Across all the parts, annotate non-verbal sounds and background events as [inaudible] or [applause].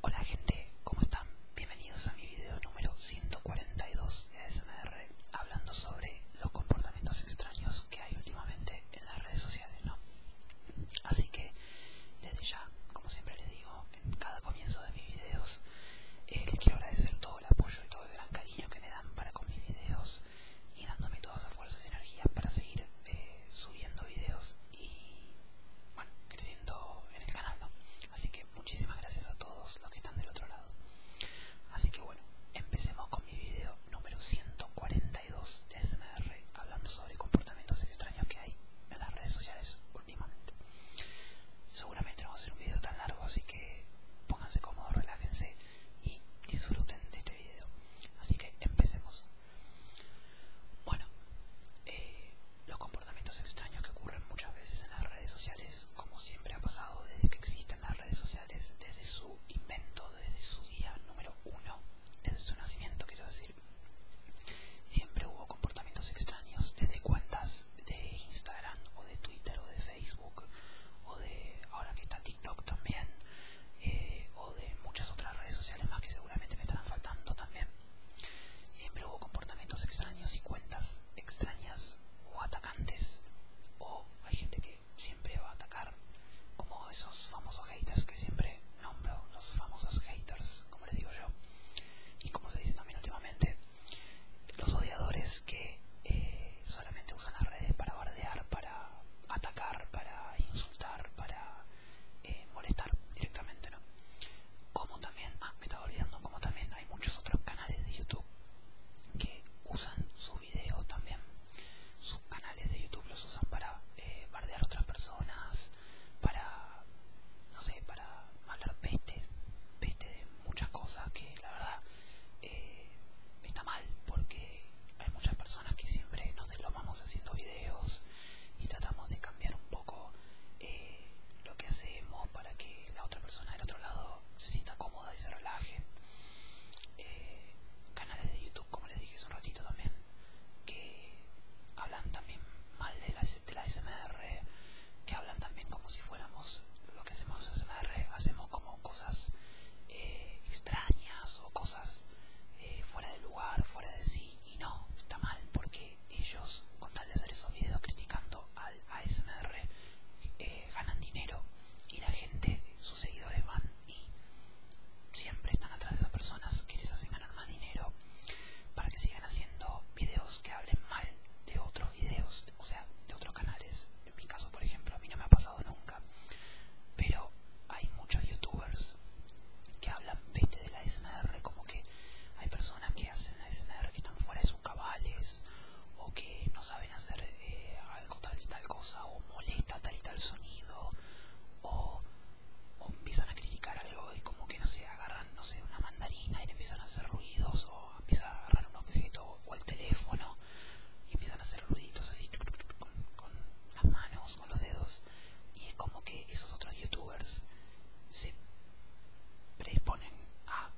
Hola gente, ¿cómo están? Bienvenidos a mi video número 142 de SMR hablando sobre los comportamientos extraños que hay últimamente en las redes sociales, ¿no? Así que, desde ya, como siempre les digo, en cada comienzo de mis videos, eh, les quiero agradecer todo el apoyo y todo el gran cariño que me dan para con mis videos y dándome todas las fuerzas y energías para seguir eh, subiendo videos y bueno, creciendo en el canal, ¿no? Así que muchísimas gracias a todos los que están del otro lado. Así que bueno, empecemos con mi video número 142 de SMR hablando sobre comportamientos extraños que hay en las redes sociales últimamente. Seguramente no va a ser un video tan largo, así que pónganse cómodos, relájense y disfruten de este video. Así que empecemos. Bueno, eh, los comportamientos extraños que ocurren muchas veces en las redes sociales, como siempre ha pasado desde que existen las redes sociales, desde su invento, desde su día número uno, desde su nacimiento, quiero decir, siempre hubo comportamientos extraños desde cuentas de Instagram o de Twitter o de Facebook o de ahora que está TikTok también eh, o de muchas otras redes sociales más que seguramente me estarán faltando también. Siempre hubo comportamientos extraños y cuentas extrañas o atacantes, o hay gente que siempre va a atacar, como esos famosos haters que siempre nombro, los famosos haters, como les digo yo, y como se dice también últimamente, los odiadores que eh, solamente usan las redes para bardear, para atacar, para insultar, para eh, molestar directamente, ¿no? Como también, ah, me estaba olvidando, como también hay muchos otros canales de YouTube que usan sus videos también, sus canales de YouTube los usan para eh, bardear a otras personas, para, no sé, para hablar peste, peste de muchas cosas que la verdad eh, está mal porque hay muchas personas personas que siempre nos deslomamos haciendo videos y tratamos de cambiar un poco eh, lo que hacemos para que la otra persona del otro lado se sienta cómoda y se relaje. Eh, canales de YouTube, como les dije hace un ratito también, que hablan también mal de la, de SMR, que hablan también como si fuéramos lo que hacemos SMR, hacemos como cosas eh, extrañas o cosas fuera de lugar, fuera de sí y, no, está mal porque ellos con tal de hacer esos videos criticando al ASMR eh, ganan dinero y la gente, sus seguidores van y siempre están atrás de esas personas que les hacen ganar más dinero para que sigan haciendo videos que hablen mal de otros videos, o sea, de otros canales. En mi caso, por ejemplo, a mí no me ha pasado nunca, pero hay muchos youtubers que hablan, viste, de la SMR, como que hay personas que hacen la SMR que están fuera de sus cabales, o que no saben hacer eh, algo tal y tal cosa, o molesta tal y tal sonido, o, empiezan a criticar algo y como que, no sé, agarran, no sé, una mandarina y empiezan a hacer ruidos, o empiezan a agarrar un objeto o el teléfono y empiezan a hacer ruiditos así, con, con las manos, con los dedos y es como que esos otros youtubers se predisponen a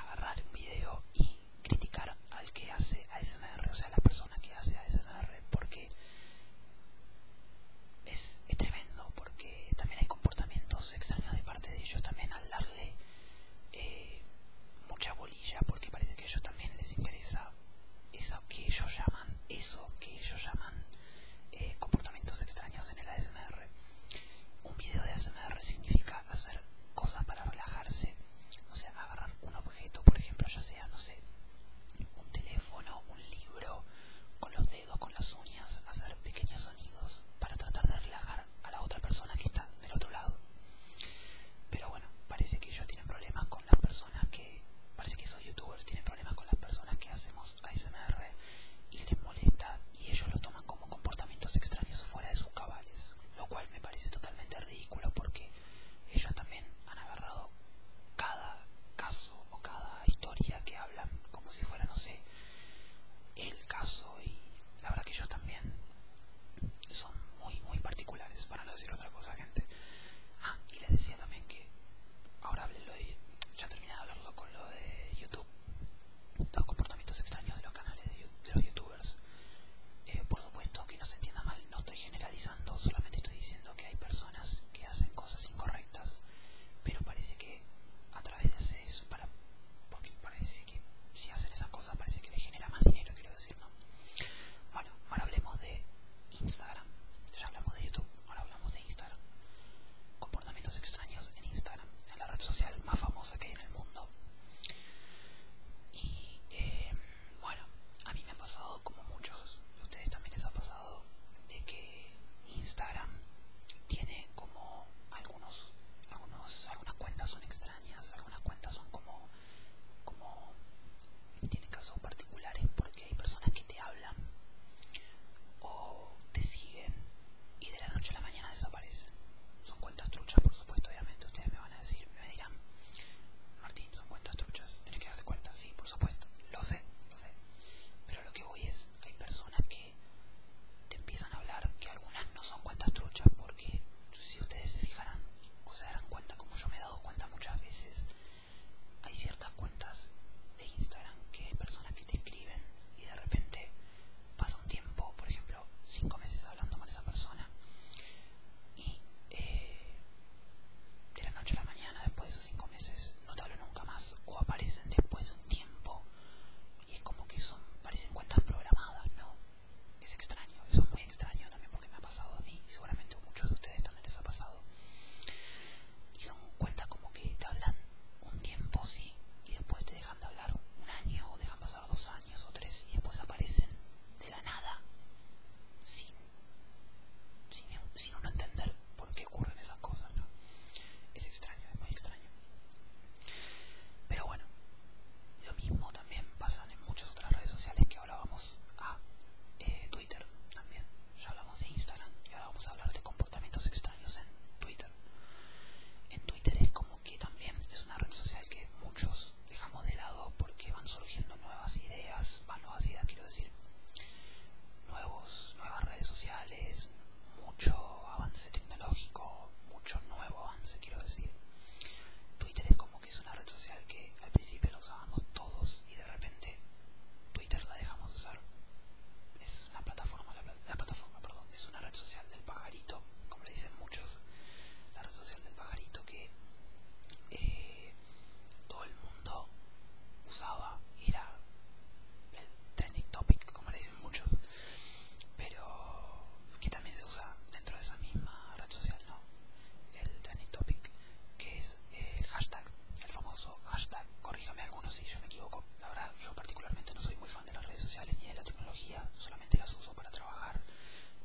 agarrar un video y criticar al que hace a ASMR, o sea, a la persona que hace ASMR, porque es, tremendo, porque también hay comportamientos extraños de parte de ellos, también al darle eh, mucha bolilla, porque parece que a ellos también les interesa eso que ellos llaman, eso que ellos llaman eh, comportamientos extraños en el ASMR. Un video de ASMR significa hacer cosas para relajarse, o sea, agarrar un objeto, por ejemplo, ya sea, no sé, un teléfono, un libro, con los dedos, con las uñas, hacer pequeños sonidos para tratar de relajar a la otra persona que está del otro lado. Pero bueno, parece que ellos tienen problemas con las personas que parece que son youtubers tienen problemas con las personas que hacemos ASMR y les molesta y ellos lo toman como comportamientos extraños fuera de sus cabales, lo cual me parece totalmente ridículo porque ellos también han agarrado cada caso o cada historia que hablan como si fuera, no sé, el caso y la verdad que ellos también son muy muy particulares para no decir otra cosa gente Ah, y les decía también que ahora hablé ya terminé de hablarlo con lo de YouTube, los comportamientos extraños de los canales de, los youtubers. Eh, por supuesto que no se entienda mal, no estoy generalizando, solamente estoy diciendo que hay personas que hacen cosas incorrectas, pero parece que a través de hacer eso, para, porque parece que si hacen esas cosas parece que les genera más dinero, quiero decir, ¿no? Bueno, ahora hablemos de Instagram. Ya hablamos de YouTube, ahora hablamos de Instagram. Comportamientos extraños en Instagram, en la red social más famosa que hay en el mundo. Y em, bueno, a mí me ha pasado, como muchos de ustedes también les ha pasado, de que Instagram tiene como algunos, algunos algunas cuentas son extrañas, algunas cuentas son como, como tienen casos particulares porque hay personas que te hablan o te siguen y de la noche a la mañana desaparecen. Son cuentas truchas, por supuesto, obviamente. Ustedes me van a decir, me dirán, Martín, son cuentas truchas, tienes que darte cuenta, sí, por supuesto, lo sé, lo sé. Pero lo que voy es, hay personas que te empiezan a hablar que algunas no son cuentas truchas porque si ustedes se fijarán o se darán cuenta, como yo me he dado cuenta muchas veces, hay ciertas cuentas de Instagram que hay personas que te escriben y de repente pasa un tiempo, por ejemplo, cinco meses hablando con esa persona y eh, de la noche a la mañana, después de esos cinco meses, no te hablo nunca más o aparecen después de un tiempo y es como que son, parecen cuentas programadas, ¿no? Es extraño, eso es muy extraño también porque me ha pasado a mí y seguramente a muchos de ustedes también les ha pasado y son cuentas como que te hablan un tiempo, sí, y después te dejan de hablar un año, o dejan pasar dos años o tres, y después aparecen de la nada, sin, uno entender por qué ocurren esas cosas, ¿no? Es extraño, es muy extraño. Pero bueno, lo mismo también pasa en muchas otras redes sociales que ahora vamos a eh, Twitter también ya hablamos de Instagram y ahora vamos a hablar de comportamientos extraños en Twitter. En Twitter es como que también es una red social que muchos dejamos de lado porque van surgiendo nuevas ideas, van nuevas ideas quiero decir, nuevos, nuevas redes sociales, mucho avance tecnológico, mucho nuevo avance quiero decir. Twitter es como que es una red social que al principio lo usábamos todos y de repente Twitter la dejamos usar. Es una plataforma, la, plataforma, perdón, es una red social del pajarito, como le dicen muchos, la red social del pajarito que eh, todo el mundo usaba, era el trending topic, como le dicen muchos, pero que también se usa dentro de esa misma red social, ¿no? El trending topic, que es el hashtag, el famoso hashtag. Corríjame algunos si yo me equivoco. La verdad, yo particularmente no soy muy fan de las redes sociales ni de la tecnología, solamente las uso para trabajar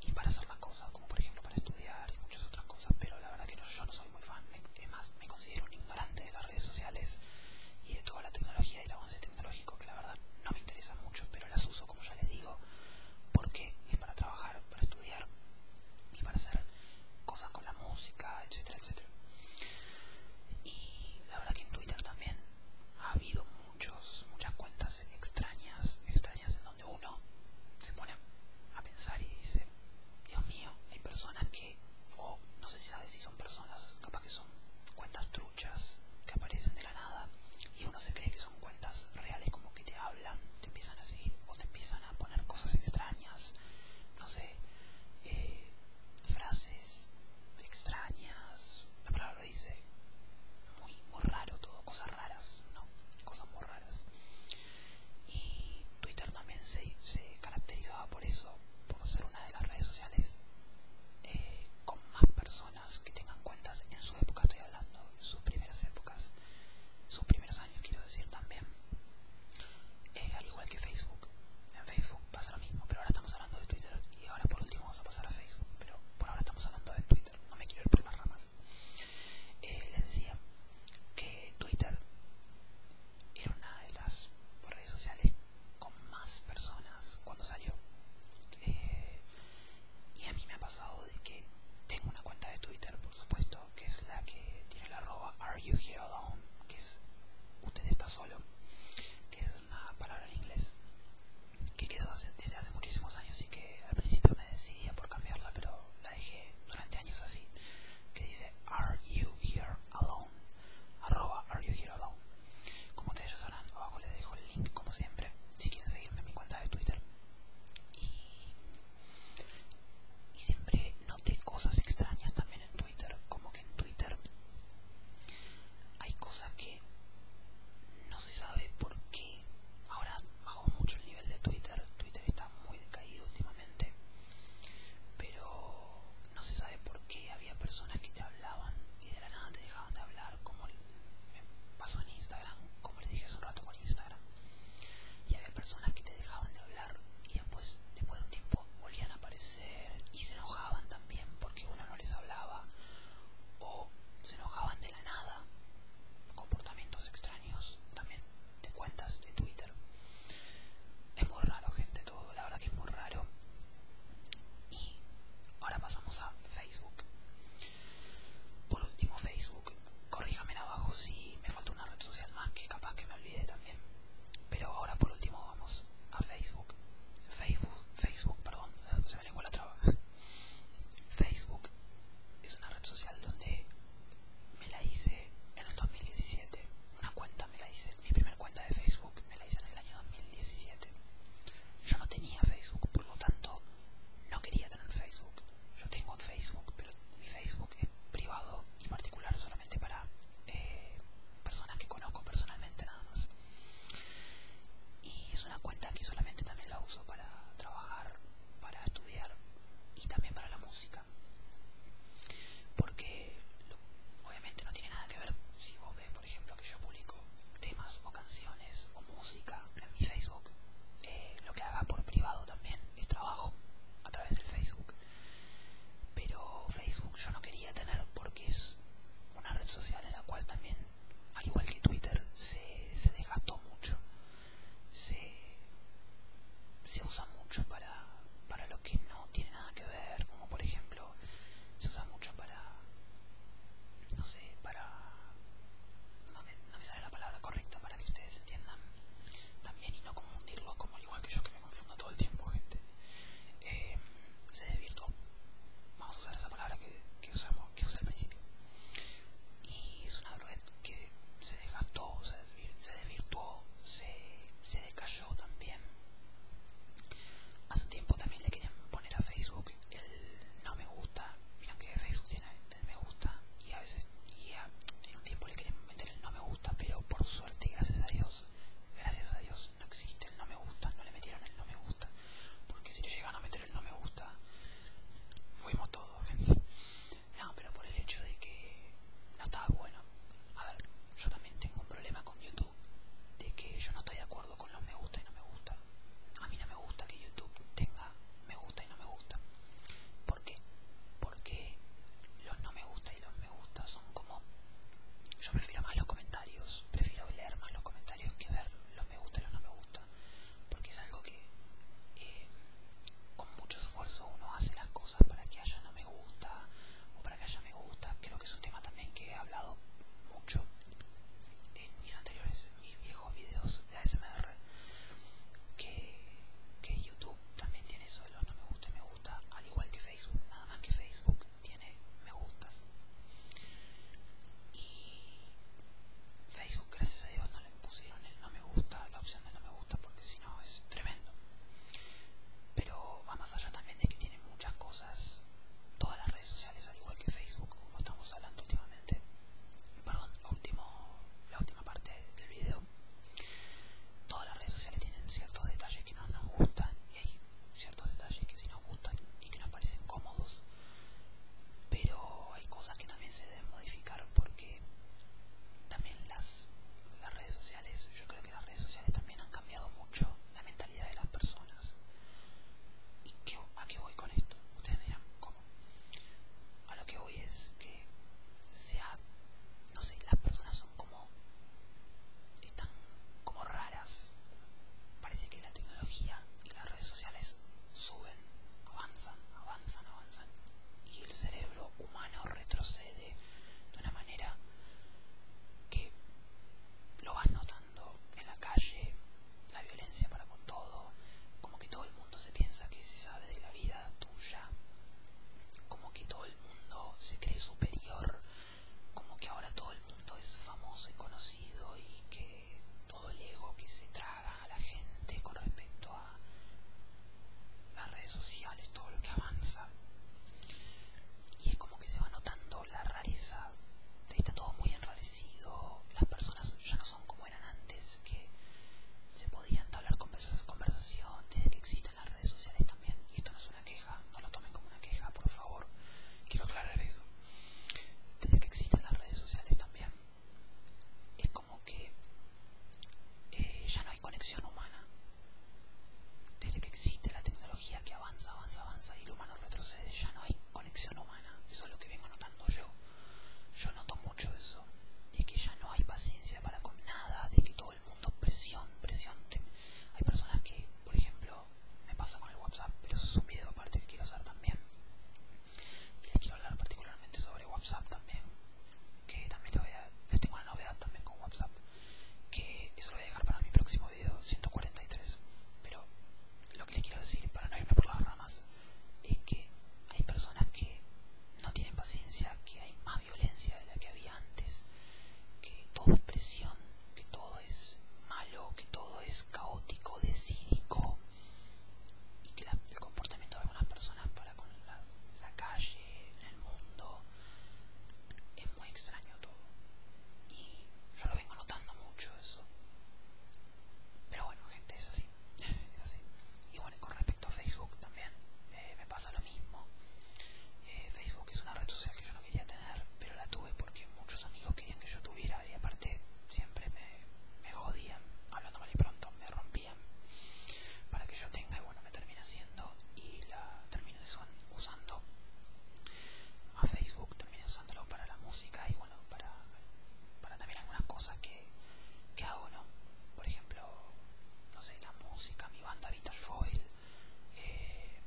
y para hacer más cosas, como por ejemplo para estudiar y muchas otras cosas, pero la verdad que yo no soy muy fan. Es más, me considero un ignorante de las redes sociales y de toda la tecnología y el avance tecnológico, que la verdad no me interesa mucho, pero las uso, como ya les digo, porque es para trabajar, para estudiar y para hacer cosas con la música, etcétera, etcétera. Y la verdad que en Twitter también ha habido muchos, muchas cuentas extrañas, extrañas en donde uno se pone a pensar y dice, Dios mío, hay personas que, o no sé si sabes si son personas, capaz que son cuentas truchas que aparecen de la nada y uno se cree que son cuentas reales como que te hablan te empiezan a seguir o te empiezan a poner cosas extrañas, no sé, eh, frases extrañas, la palabra lo dice, muy, raro todo, cosas raras, no, cosas muy raras. Y Twitter también se, caracterizaba por eso, por ser una de las redes sociales eh, con más personas que tengan cuentas en su época, estoy hablando, en sus primeras épocas, sus primeros yo quiero decir también, eh, al igual que Facebook. En Facebook pasa lo mismo, pero ahora estamos hablando de Twitter y ahora por último vamos a pasar a Facebook, pero por ahora estamos hablando de Twitter, no me quiero ir por las ramas. Eh, les decía que Twitter era una de las redes sociales con más personas cuando salió. Eh, y a mí me ha pasado de que tengo una cuenta de Twitter, por supuesto, que es la que tiene la arroba Are You Here Alone, que es usted está solo, que es una palabra en inglés que quedó desde hace muchísimos años y que al principio me decidía por cambiarla, pero la dejé durante años así, que dice Are You Here Alone, arroba Are You Here Alone. Como ustedes ya sabrán, abajo les dejo el link como siempre, si quieren seguirme en mi cuenta de Twitter. Y y siempre noté cosas extrañas también en Twitter, como que en Twitter hay cosas que no se sabe por qué. Ahora bajó mucho el nivel de Twitter, Twitter está muy decaído últimamente, pero no se sabe por qué había personas que te hablaban y de la nada te dejaban de hablar, como me pasó en Instagram, como les dije hace un rato con Instagram. Y había personas que te dejaban de hablar y después, después de un tiempo, volvían a aparecer y se enojaban también porque uno no les hablaba o se enojaban de la nada. Comportamientos extraños también de cuentas de Twitter. Es muy raro, gente, todo. La verdad que es muy raro. Y ahora pasamos a Facebook. Por último, Facebook corríjame abajo si me falta una red social más que capaz que me olvide también. Pero ahora por último vamos a Facebook. Facebook, Facebook, perdón, eh, se me lengua la traba. [laughs] Facebook es una red social donde me la hice en el 2017. Una cuenta me la hice, mi primera cuenta de Facebook me la hice en el año 2017. Yo no tenía Facebook, por lo tanto no quería tener Facebook. Yo tengo un Facebook, pero mi Facebook es privado en particular solamente para eh, personas que conozco personalmente nada más. Y es una cuenta que solamente también la uso para trabajar, para estudiar y también para la música. Porque obviamente no tiene nada que ver si vos ves, por ejemplo, que yo publico temas o canciones o música en mi Facebook. Eh, lo que haga por privado también es trabajo a través del Facebook. Pero Facebook yo no quería tener porque es una red social en la cual también, al igual que Twitter, se, se desgastó mucho. Se, usa mucho para, lo que no tiene nada que ver, como por ejemplo, se usa mucho para, no sé, para... no me sale la palabra correcta para que ustedes entiendan también y no confundirlo como igual que yo que me confundo todo el tiempo gente eh, se desvirtuó vamos a usar esa palabra que, que usamos que usé al principio y es una red que se desgastó se, se desvirtuó se, se decayó también hace un tiempo también le querían poner a facebook el no me gusta mira que facebook tiene el me gusta y a veces y en un tiempo le querían meter el no me gusta pero por suerte, gracias a Dios, gracias a Dios no existe el no me gusta, no le metieron el no me gusta, porque si le llegan a meter el no me gusta, fuimos todos, [laughs] gente. No, pero por el hecho de que no estaba bueno. A ver, yo también tengo un problema con YouTube, de que yo no estoy de acuerdo con los me gusta y no me gusta. A mí no me gusta que YouTube tenga me gusta y no me gusta. ¿Por qué? Porque los no me gusta y los me gusta son como... Yo prefiero más los comentarios, prefiero leer más los comentarios que ver los me gusta y los no me gusta. Porque es algo que eh, con mucho esfuerzo uno hace las cosas para que haya no me gusta o para que haya me gusta. Creo que es un tema también que he hablado mucho en mis anteriores, en mis viejos videos de ASMR que, que YouTube también tiene eso de los no me gusta y me gusta, al igual que Facebook, nada más que Facebook tiene me gustas. Y Facebook, gracias a Dios, no le pusieron el no me gusta, la opción de no me gusta, porque si no es tremendo. Pero va más allá también de que tiene muchas cosas, todas las redes sociales, al igual que Facebook, como estamos hablando últimamente. Perdón, último, la última parte del video todas las redes sociales tienen ciertos detalles que no nos gustan y hay ciertos detalles que sí nos gustan y que nos parecen cómodos pero hay cosas que también se deben modificar porque también las, las redes sociales yo creo que las redes sociales también han cambiado mucho la mentalidad de las personas a qué voy con esto ustedes cómo a lo que voy es que se ha no sé, las personas son como están como raras. Parece que la tecnología y las redes sociales suben, avanzan, avanzan, avanzan y el cerebro humano retrocede de una manera que lo vas notando en la calle, la violencia para con todo, como que todo el mundo se piensa que se sabe de la vida como que todo el mundo se cree superior como que ahora todo el mundo es famoso y conocido y que todo el ego que se traga a la gente con respecto a las redes sociales todo lo que avanza y es como que se va notando la rareza está todo muy enrarecido las personas ya no son como eran antes que se podían hablar con esas conversaciones que existen las redes sociales también, y esto no es una queja, no lo tomen como una queja, por favor, quiero aclarar eso. Desde que existen las redes sociales también, es como que eh, ya no hay conexión humana. Desde que existe la tecnología que avanza, avanza, avanza y el humano retrocede, ya no hay conexión humana. Eso es lo que vengo notando yo. Yo noto mucho eso, de que ya no hay paciencia para con nada, de que todo el mundo presión, presión. Hay personas que, por ejemplo, me pasa con el WhatsApp, pero eso es un video aparte que quiero hacer también. Y les quiero hablar particularmente sobre WhatsApp también, que también les, voy a, tengo una novedad también con WhatsApp, que eso lo voy a dejar para mi próximo video 143. Pero lo que les quiero decir, para no irme por las ramas, es que hay personas que no tienen paciencia, que hay más violencia de la que había antes, que todo es presión, que todo es malo, que todo es caótico, decídico, y que el comportamiento de algunas personas para con la, calle, en el mundo, es muy extraño todo. Y yo lo vengo notando mucho eso. Pero bueno, gente, es así. [laughs] Es así. Y bueno, con respecto Facebook también eh, me pasa lo mismo. Eh, Facebook es una red social que yo no quería tener, pero la tuve porque muchos amigos querían que yo tuviera y aparte siempre me, jodían, hablando mal y pronto, me rompían para que yo tenga y bueno, me termina haciendo y la terminé usando a Facebook, terminé usándolo para la música y bueno, para, para también algunas cosas que, que hago, ¿no? por ejemplo, no sé, la música, mi banda Vintage Foil, eh,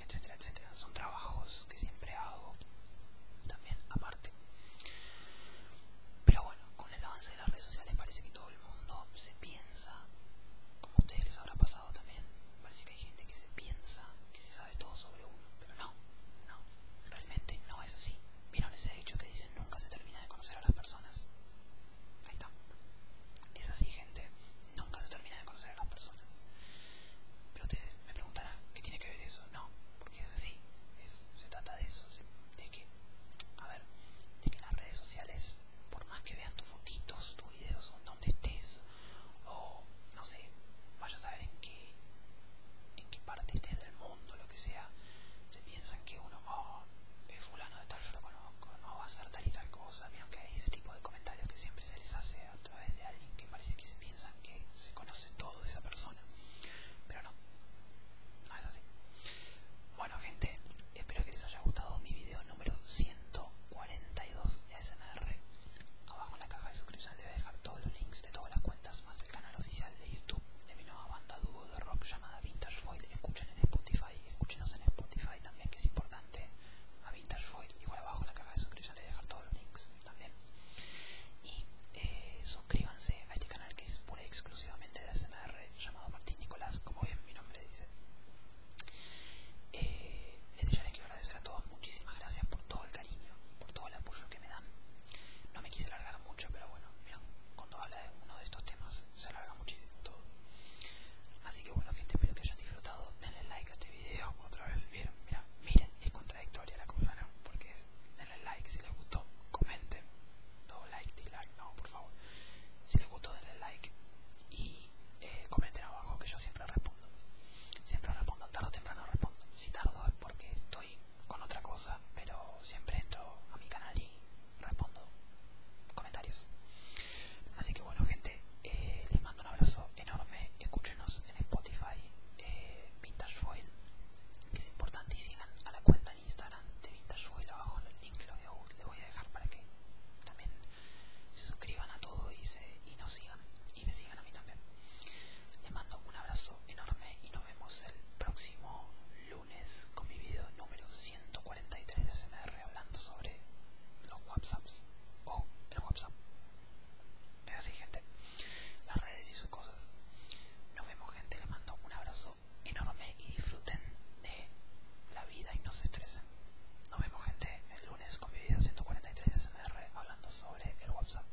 etcétera, etcétera. Son trabajos que siempre hago también aparte. Pero bueno, con el avance de las redes sociales parece que todo el mundo se piensa, como a ustedes les habrá pasado también, parece que hay gente que se piensa que se sabe todo sobre uno, pero no, no, realmente no es así. Vieron ese hecho que dicen nunca se termina de conocer a las personas. Ahí está. Es así, gente. Nunca se termina de conocer a las personas. Pero ustedes me preguntarán, ¿qué tiene que ver eso? No, porque es así. se trata de eso, de que, a ver, de que las redes sociales, por más que vean tus fotitos, tus videos, o donde estés, o no sé, vaya a saber en qué, en qué parte estés del mundo, que sea, se piensan que uno, oh, es fulano de tal yo lo conozco, no va a hacer tal y tal cosa, vieron que ese tipo de comentarios que siempre se les hace a través de alguien que parece que se piensan que se conoce todo de esa persona, pero no, no es así. Bueno gente, espero que les haya gustado mi video número 142 de SNR. Abajo en la caja de suscripción les voy a dejar todos los links de todas las cuentas, más el canal oficial de YouTube de mi nueva banda dúo de rock llamada Vintage Foil. Escuchen en Spotify y escúchenos en Spotify también, que es importante. A Vintage Foil, igual abajo en la caja de suscripción le voy a dejar todos los links también. Y eh, suscríbanse a este canal que es pura y exclusivamente de ASMR, llamado Martín Nicolás, como bien mi nombre dice. les eh, este quiero agradecer a todos, muchísimas gracias por todo el cariño, por todo el apoyo que me dan. No me quise alargar mucho, pero bueno, mira, cuando habla de uno de estos temas se alarga muchísimo todo. Así que bueno gente, espero que hayan disfrutado. Denle like a este video otra vez. Miren, miren, es contradictoria la cosa, ¿no? Porque es denle like si les gustó, comenten. Todo like, dislike, no, por favor. Si les gustó, denle like y eh, comenten abajo que yo siempre respondo. Siempre respondo, tarde o temprano respondo. Si tardo es porque estoy con otra cosa, pero siempre Esto a mi canal y respondo comentarios. Así que bueno, gente, eh, les mando un abrazo enorme. Escúchenos en Spotify, eh, Vintage Foil, que es importante. Y sigan a la cuenta en Instagram de Vintage Foil. Abajo el link lo voy a, le voy a dejar para que también se suscriban a todo y, y nos sigan. Y me sigan a mí también. Les mando un abrazo enorme y nos vemos el próximo lunes lunes con mi video número 143 de SMR hablando sobre los WhatsApps o el WhatsApp. Es así, gente. Las redes y sus cosas. Nos vemos, gente. Les mando un abrazo enorme y disfruten de la vida y no se estresen. Nos vemos, gente, el lunes con mi video 143 de SMR hablando sobre el WhatsApp.